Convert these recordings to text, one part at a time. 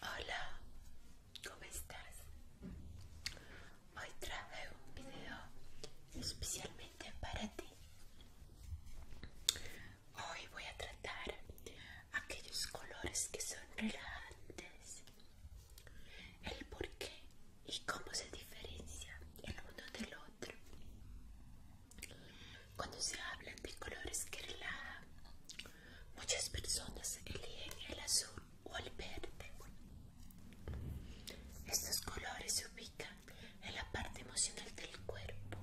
Hola, ¿cómo estás? Hoy traje un video especialmente para ti. Hoy voy a tratar aquellos colores que son relajantes, el por qué y cómo se diferencian el uno del otro. Cuando se hablan de colores que muchas personas eligen el azul o el verde. Estos colores se ubican en la parte emocional del cuerpo,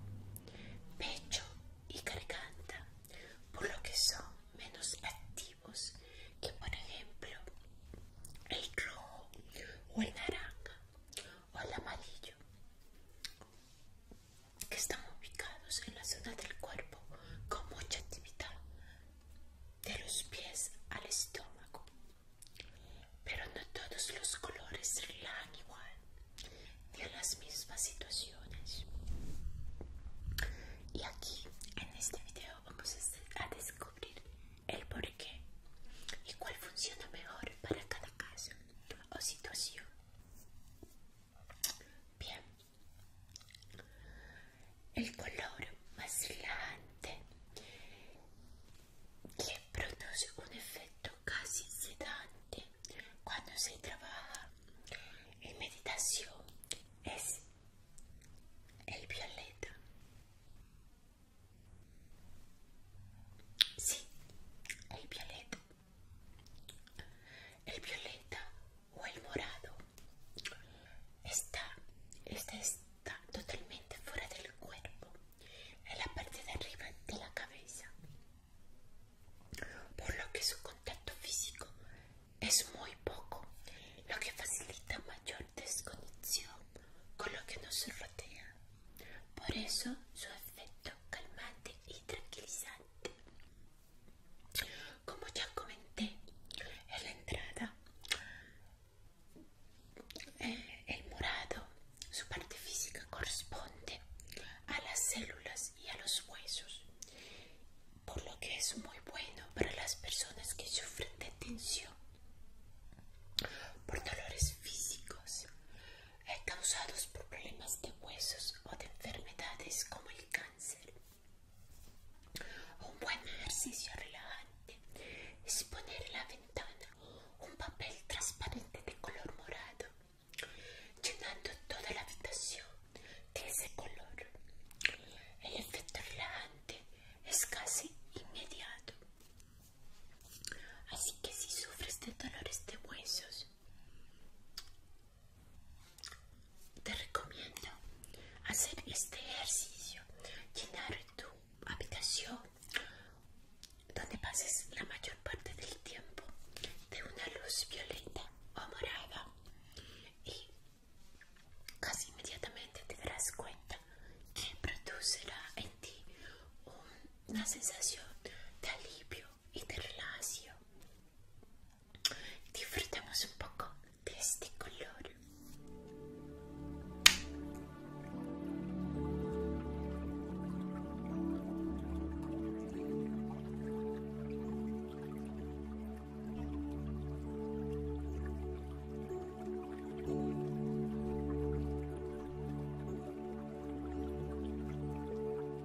pecho y garganta, por lo que son menos activos que, por ejemplo, el rojo o el naranja o el amarillo que están ubicados en la zona del cuerpo con mucha actividad de los pies al estómago. Pero no todos los colores relajan igual ni en las mismas situaciones. Y aquí en este video vamos a descubrir el porqué y cuál funciona mejor para cada caso o situación. Bien. El color vacilante que produce un efecto casi sedante cuando se trabaja en meditación es el violeta. Sí, el violeta. el violeta o el morado está está totalmente fuera del cuerpo en la parte de arriba de la cabeza por lo que su contacto físico es muy poco lo que facilita mayor desconexión con lo que nos rodea por eso su efecto calmante tranquilizante. Como ya comenté en la entrada, el, eh, el morado, su parte física corresponde a las células y a los huesos, por lo que es muy bueno para las personas que sufren de tensión por dolores físicos causados por problemas de huesos o de enfermedades como el cáncer. Un buen ejercicio relajante es poner en la ventana un papel transparente de color morado, llenando toda la habitación de ese color. El efecto relajante es casi inmediato. Así que si sufres de dolores de huesos, te recomiendo hacer este ejercicio, llenar tu habitación donde pases la mayor parte del tiempo de una luz violeta o morada y casi inmediatamente te darás cuenta que producirá en ti una sensación de alivio y de Disfrutemos un poco de este color.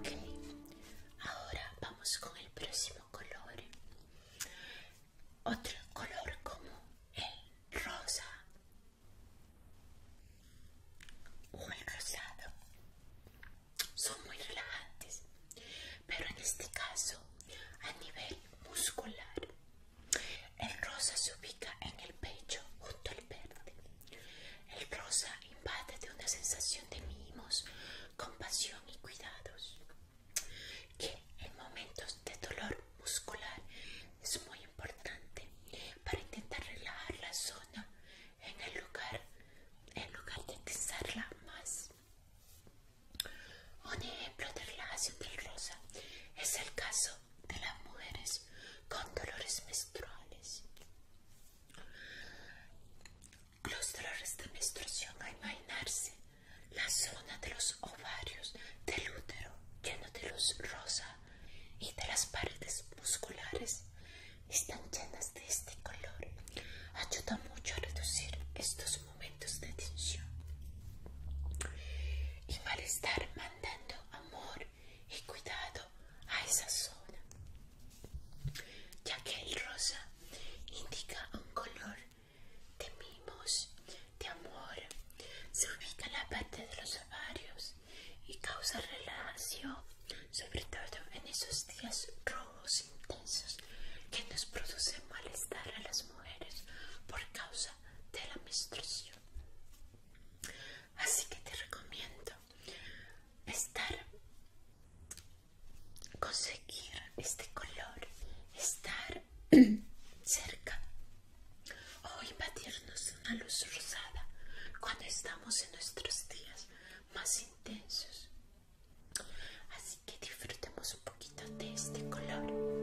Okay, ahora vamos con el próximo color otro color como el rosa o el rosado son muy relajantes pero en este caso a nivel muscular el rosa se ubica en el pecho junto al verde el rosa invade de una sensación de mimos compasión y cuidados que en momentos de dolor muscular es muy importante para intentar relajar la zona en el lugar, en lugar de tensarla más. Un ejemplo de relajación del rosa es el caso de las mujeres con dolores menstruales. Los dolores de menstruación, a imaginarse la zona de los ovarios del útero lleno de luz rosa y de las paredes musculares están llenas de este color. Ayuda mucho a reducir estos momentos de tensión y estar mandando amor y cuidado a esa zona, ya que el rosa indica un color de mimos de amor se ubica en la parte de los ovarios y causa relación sobre todo en esos días rojos intensos que nos producen malestar a las mujeres por causa de la menstruación. Así que te recomiendo estar, conseguir este color, estar cerca o invadirnos una luz rosada cuando estamos en nuestros días más intensos. Así que disfrutemos un poquito de este color.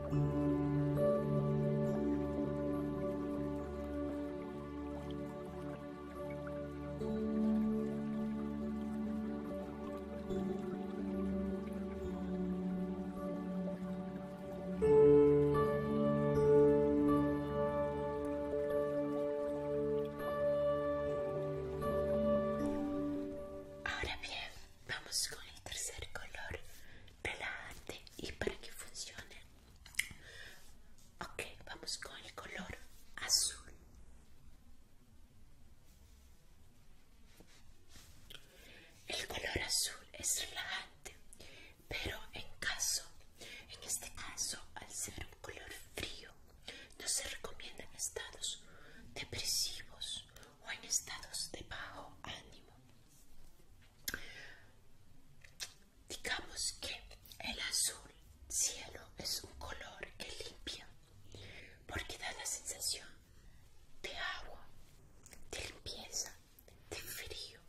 Ahora bien, vamos con el tercer color relajante y para que funcione ok vamos con el color azul el color azul es relajante pero en caso en este caso al ser un color frío no se recomienda en estados depresivos o en estados de bajo ánimo Digamos que el azul cielo es un color que limpia, porque da la sensación de agua, de limpieza, de frío,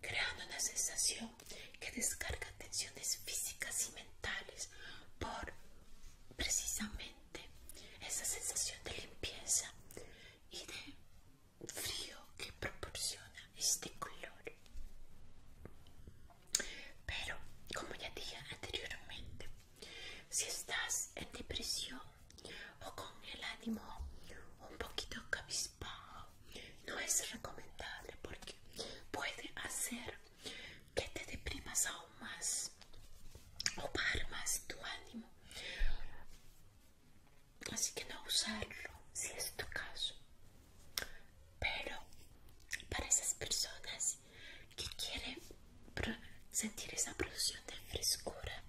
creando una sensación que descarga tensiones físicas y mentales por precisamente esa sensación de limpieza y de frío que proporciona este color pero como ya dije anteriormente si estás en depresión o con el ánimo un poquito cabizbajo no es recomendable porque puede hacer que te deprimas aún más o más tu ánimo así que no usarlo si es tu caso pero para esas personas que quieren sentir esa producción de frescura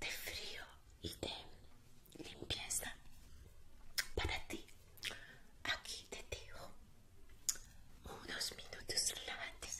de frío y de limpieza para ti aquí te digo unos minutos relajantes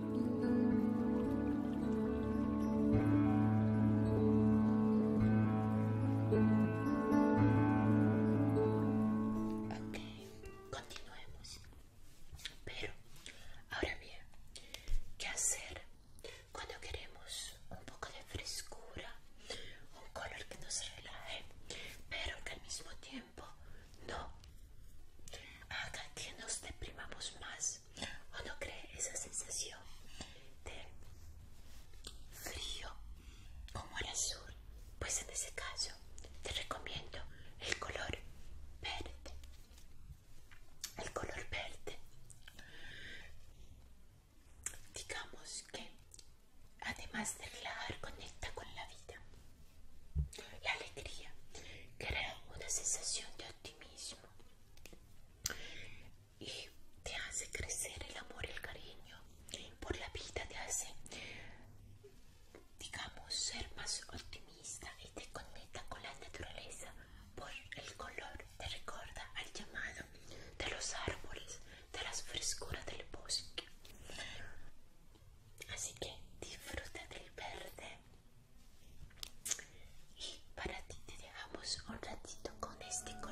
Ok, continuemos. Pero, ahora bien, ¿qué hacer cuando queremos un poco de frescura? Un color que nos relaje, pero que al mismo tiempo no. Haga que nos deprimamos más. ¿O no cree esa sensación de frío como el azul? Pues en ese caso te recomiendo el color verde. El color verde. Digamos que además de relajar, conecta con la vida. La alegría crea una sensación de optimismo y te hace crecer el amor, y el cariño por la vida, te hace, digamos, ser más optimista y te conecta con la naturaleza por el color, te recuerda al llamado de los árboles, de las frescuras del bosque. Así que disfruta del verde. Y para ti te dejamos un ratito con este color.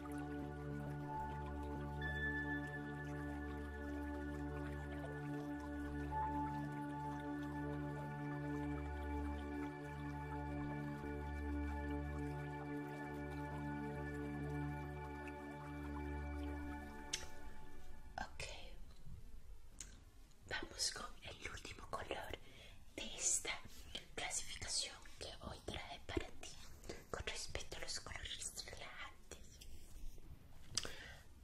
Ok, vamos con el último color de esta clasificación que hoy traer para ti con respecto a los colores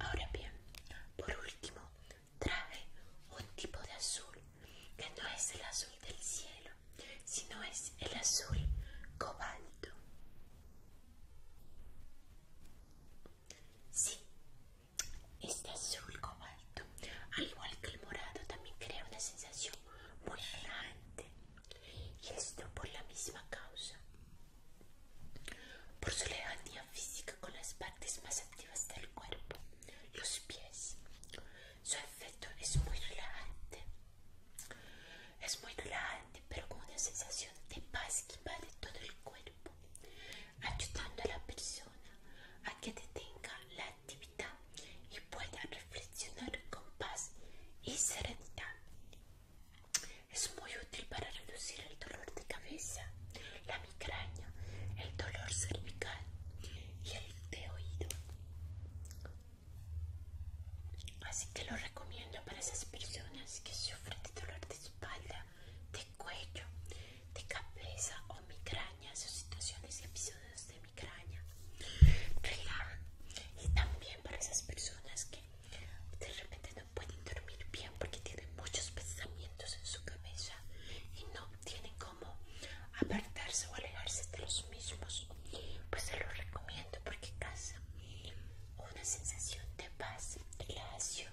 Ahora bien, por último, trae un tipo de azul que no es el azul del cielo, sino es el azul cobalto. Sí, este azul cobalto, al igual que el morado, también crea una sensación muy y esto por la misma causa, por su lejanía física con las partes más activas del cuerpo, los pies. Su efecto es muy relajante, es muy relajante, pero con una sensación de paz que invade todo el cuerpo, ayudando a la persona a que detenga la actividad y puedan reflexionar con paz y serenidad. Es muy útil para reducir el dolor de cabeza, la migraña, el dolor cervical y el de oído. Así que lo recomiendo para esas personas que sufren de dolor de espalda, de cuello, de cabeza o migrañas o situaciones y episodios de y también para esas personas que de repente no pueden dormir bien porque tienen muchos pensamientos en su cabeza y no tienen cómo apartarse o alejarse de los mismos pues se los recomiendo porque causa una sensación de paz, lacio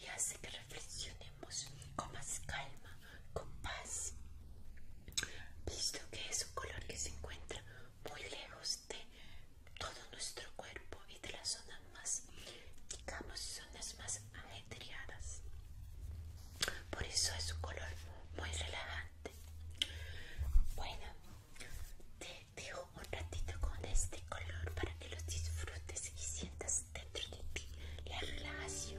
y hace que reflexionemos con más calma, con paz visto que es un color que se encuentra muy lejos de todo nuestro cuerpo y de las zonas más, digamos, zonas más ajetreadas. Por eso es un color muy relajante. Bueno, te dejo un ratito con este color para que los disfrutes y sientas dentro de ti la relajación.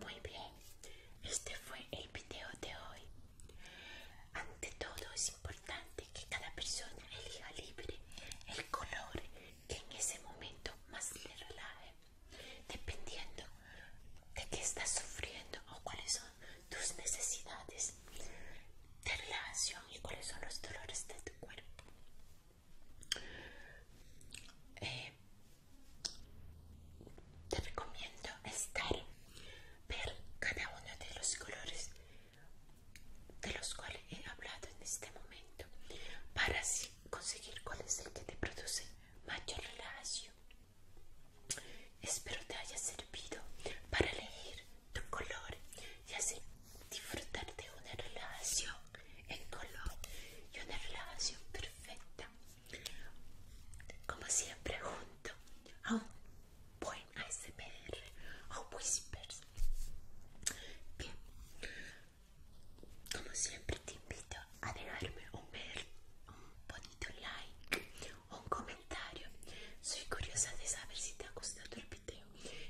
Muy bien, este fue el video de hoy. Ante todo es importante que cada persona elija libre el color que en ese momento más le relaje, dependiendo de qué está sufriendo o cuáles son tus necesidades de relación y cuáles son los dolores de tu cuerpo. Eh, te recomiendo estar, ver cada uno de los colores de los cuales he hablado en este momento para así conseguir cuál es el que te produce mayor relajación. Espero te haya servido para elegir tu color y así disfrutar de una relación en color y una relación perfecta. Como siempre junto a un buen ASMR o Whispers. Bien, como siempre te invito a dejarme un ver, un bonito like, un comentario. Soy curiosa de saber si te ha gustado el video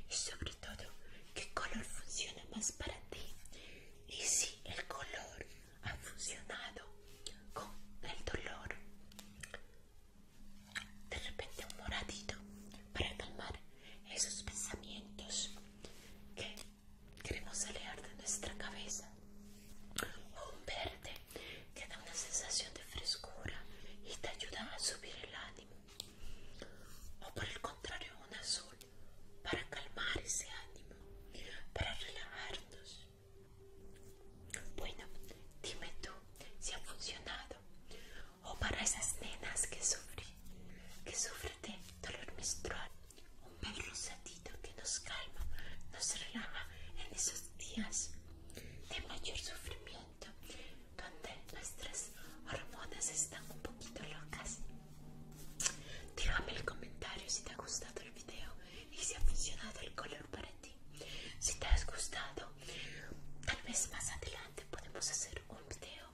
y sobre todo qué color funciona más para ti y si el color ha funcionado con el dolor. De repente un moradito para calmar esos pensamientos que queremos alejar de nuestra cabeza. O un verde te da una sensación de frescura y te ayuda a subir el ánimo. O por el contrario, un azul para calmar ese ánimo, para relajarnos. Bueno, dime tú si ha funcionado. O para esas nenas que sufren, que sufren de dolor menstrual, un perro rosadito que nos calma, nos relaja en esos días de mayor sufrimiento, donde nuestras hormonas están un poquito locas. Déjame el comentario si te ha gustado el video y si ha funcionado el color para ti. Si te has gustado, tal vez más adelante podemos hacer un video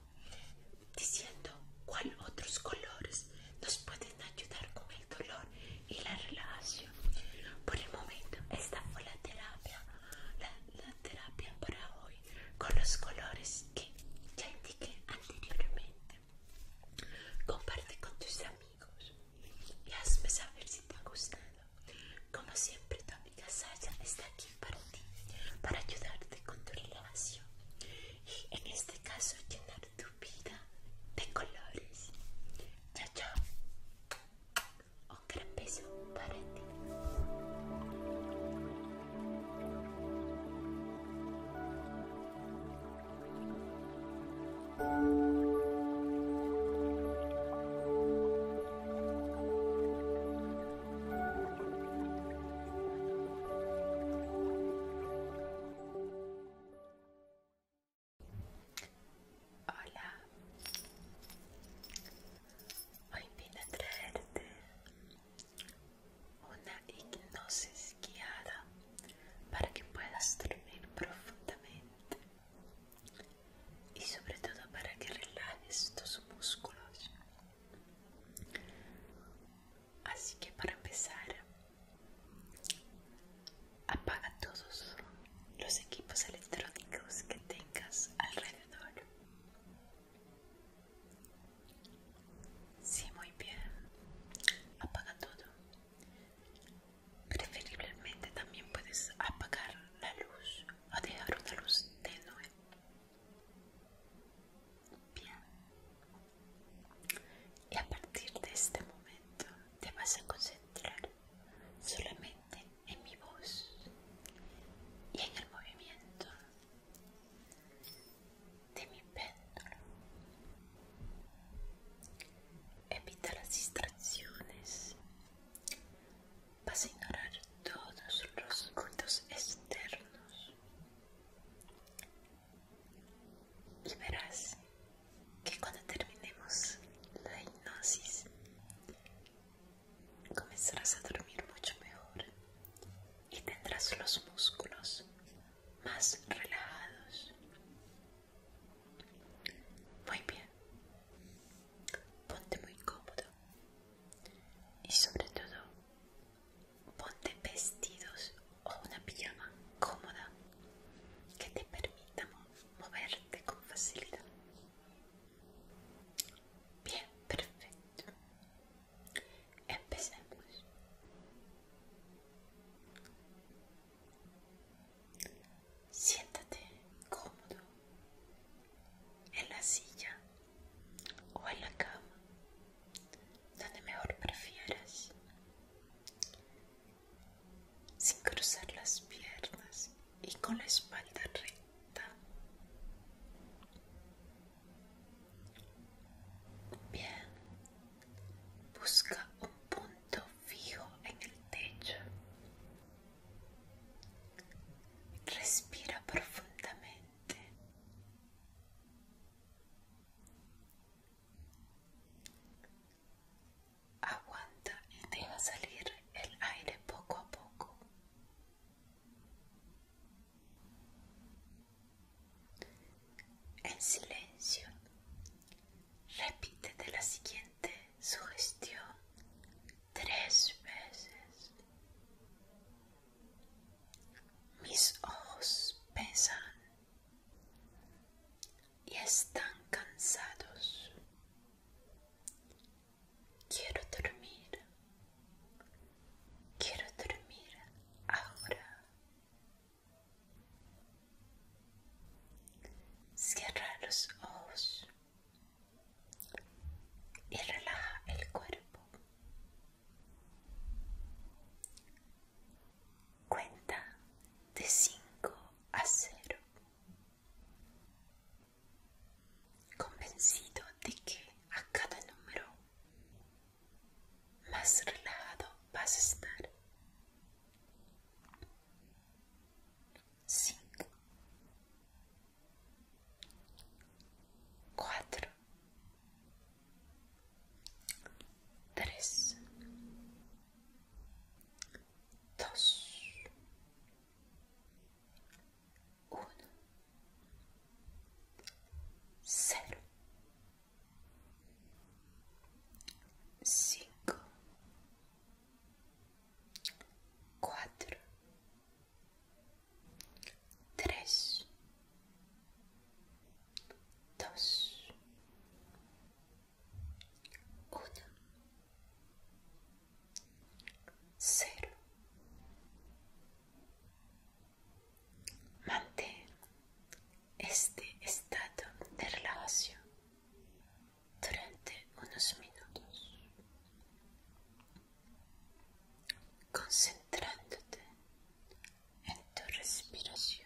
diciendo cuál otros colores nos pueden ayudar con el dolor y la relación Por el momento, esta fue la terapia, la, terapia para hoy con los colores que ya indiqué anteriormente. Comparte con tus amigos y hazme saber si te ha gustado. Como siempre, tu amiga Sasha está aquí para ti, para ayudarte con tu relación y en este caso llenar tu vida de colores. Chao, chao. Un gran beso para Hola, hoy viene a traerte una hipnosis guiada para que puedas dormir profundamente y sobre todo para que relajes tus músculos. Así que para empezar, Apaga todos los equipos electrónicos que tengas alrededor. si muy bien. Apaga todo. Preferiblemente también puedes apagar la luz o dejar una luz tenue. Bien. Y a partir de este momento te vas a concentrar solamente en mi voz y en el movimiento de mi péndulo. Evita las distracciones. Vas a ignorar todos los ruidos externos y verás que cuando terminemos la hipnosis comenzarás a dormir mucho mejor y tendrás los músculos más relajados. Muy bien, ponte muy cómodo y sobre todo ponte vestidos o una pijama cómoda que te permita moverte con facilidad. Bien, perfecto. Empecemos. Siéntate cómodo en la silla o en la cama, donde mejor prefieras sin cruzar las piernas y con la espalda recta. Bien, busca un punto fijo en el techo. Respira profundamente. Aguanta y deja salir el aire poco a poco. En silencio, repítete la siguiente sugestión tres veces. Mis ojos pesan y están cansados. Quiero dormir. Quiero dormir ahora. Cierra los ojos y relaja el cuerpo. Cuenta de 5 a 0 convencido de que a cada número más relajado vas a estar. 5 4 3 2 1 0 5 4 3 2 uno, cero. Mantén este estado de relajación durante unos minutos, concentrándote en tu respiración.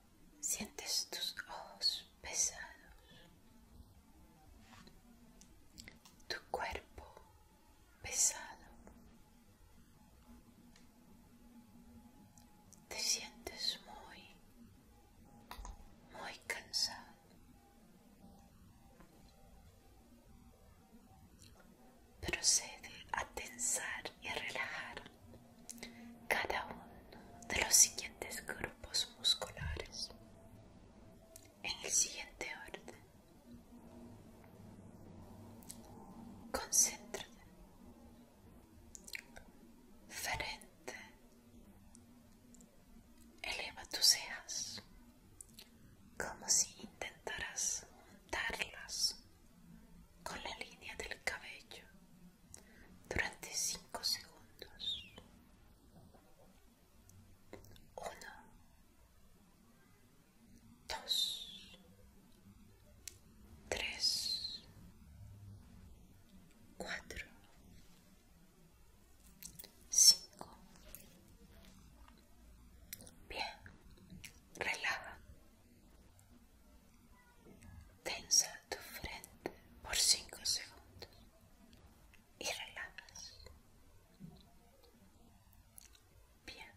Sientes tus ojos pesados, tu cuerpo pesado. Te sientes muy, muy cansado. Procede a tensar y a relajar cada uno de los siguientes grupos musculares en el siguiente orden. Concéntrate. Frente. Eleva tus cejas como si intentaras juntarlas con la línea del cabello durante cinco segundos. Uno, Bien, relaja. Tensa tu frente por cinco segundos y relajas. Bien.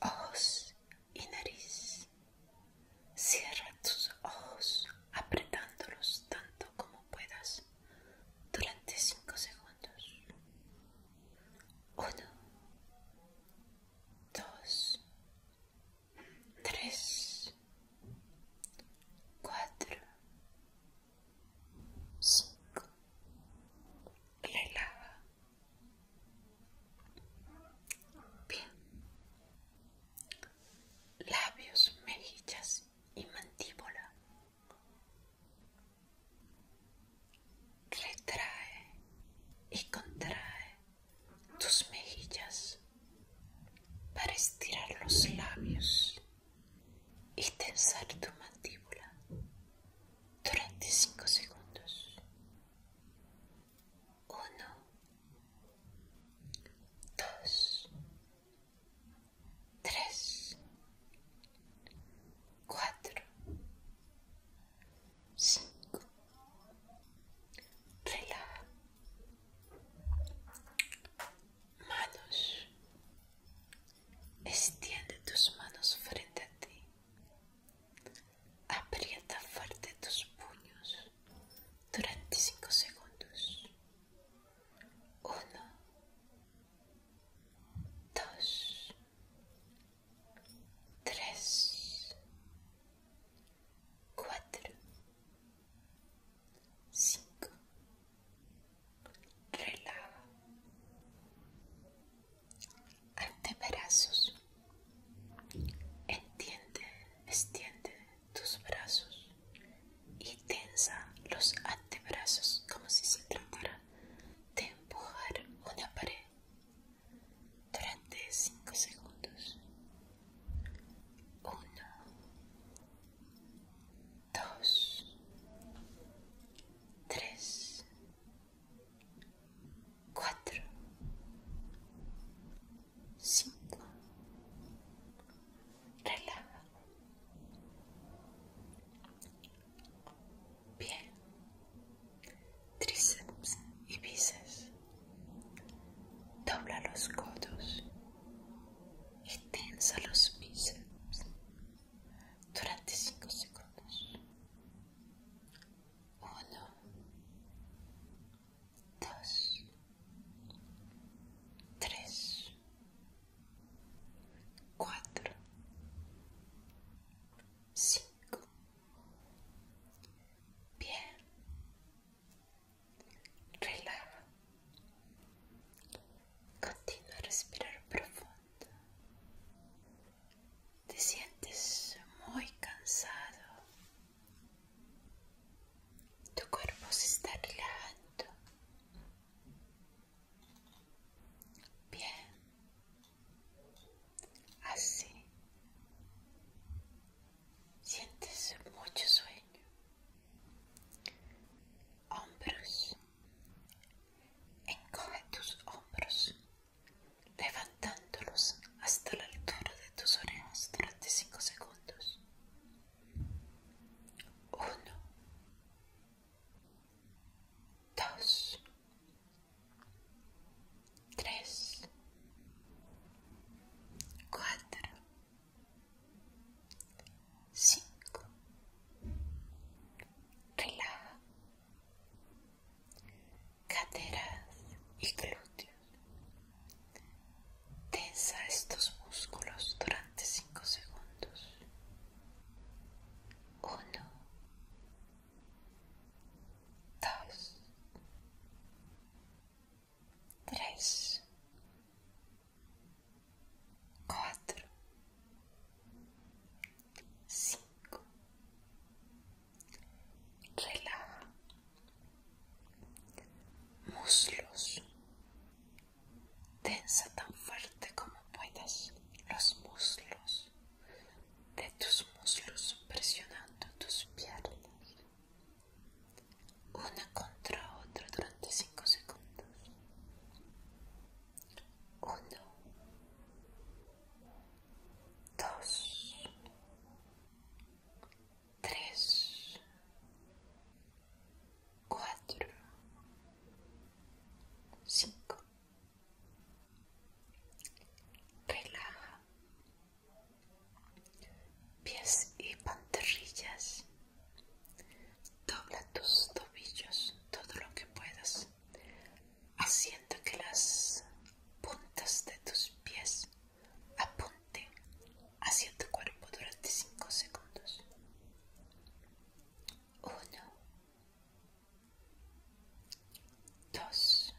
Ojos y nariz. Cierra tus ojos apretándolos tanto como puedas durante cinco segundos. Uno. Dos tres, cuatro, cinco. lava, Bien. Labios, mejillas y mandíbula. Retrae y contrae tus mejillas para estirar los labios y tensar tu mandíbula durante 5 segundos. 1, 2, 3, 4, 5 relaja manos extiende tus manos frente a ti aprieta fuerte tus puños durante 5 segundos 1 2 3 cuatro, cinco, relaja antebrazos, entiende, extiende tus brazos y tensa los antebrazos como si se tratara de empujar una pared durante 5 segundos. 1, 2, 3, 4, 5. Relaja. Bien tríceps y bíceps. Dobla los codos y tensa los bíceps durante 5 segundos. 1, 2, 3, 4, 5. Bien, Relaja. Continúa a respirar profundo. Te sientes muy cansado. Tu cuerpo se está relajando. Bien así sientes mucho sueño hombros encoge tus hombros levantándolos hasta la altura de tus orejas durante cinco segundos Uno, dos tres, cuatro, cinco. Relaja caderas y glúteos. Tensa estos músculos durante cinco segundos. Uno, tres, cuatro, cinco. Relaja muslos. Tensa tan fuerte como puedas los muslos de tus muslos presionando tus piernas una contra otra durante cinco segundos. uno dos tres cuatro cinco Relaja pies y pantorrillas. Dobla tus tobillos todo lo que puedas, haciendo que las puntas de tus pies apunten hacia tu cuerpo durante 5 segundos. 1, 2,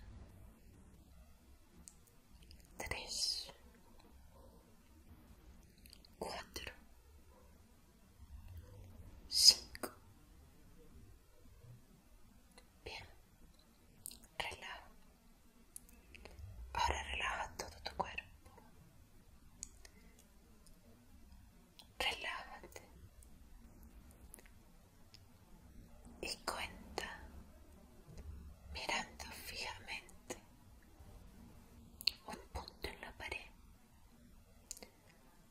tres, cuatro, cinco. Bien, relaja. Ahora relaja todo tu cuerpo. Relájate y cuenta mirando fijamente un punto en la pared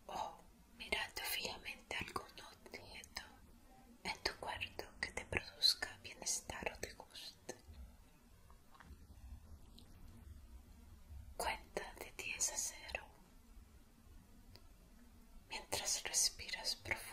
o mirando fijamente algún objeto en tu cuarto que te produzca bienestar o te guste. Cuenta de 10 a 0 mientras respiras profundo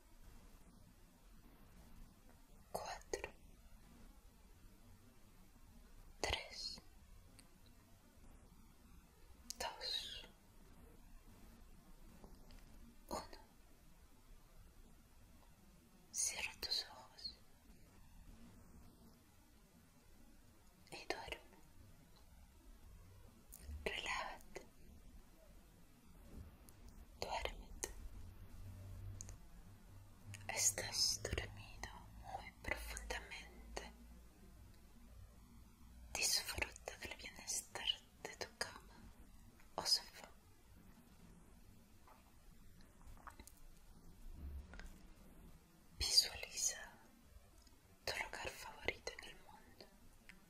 cuatro, tres, dos, uno. Cierra tus ojos y duerme. Duérmete. Estás dormido muy profundamente. Disfruta del bienestar de tu cama o oh sofá. Visualiza tu lugar favorito en el mundo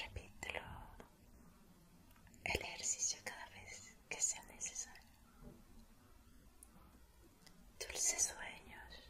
Repítelo el ejercicio cada vez que sea necesario. Dulces sueños.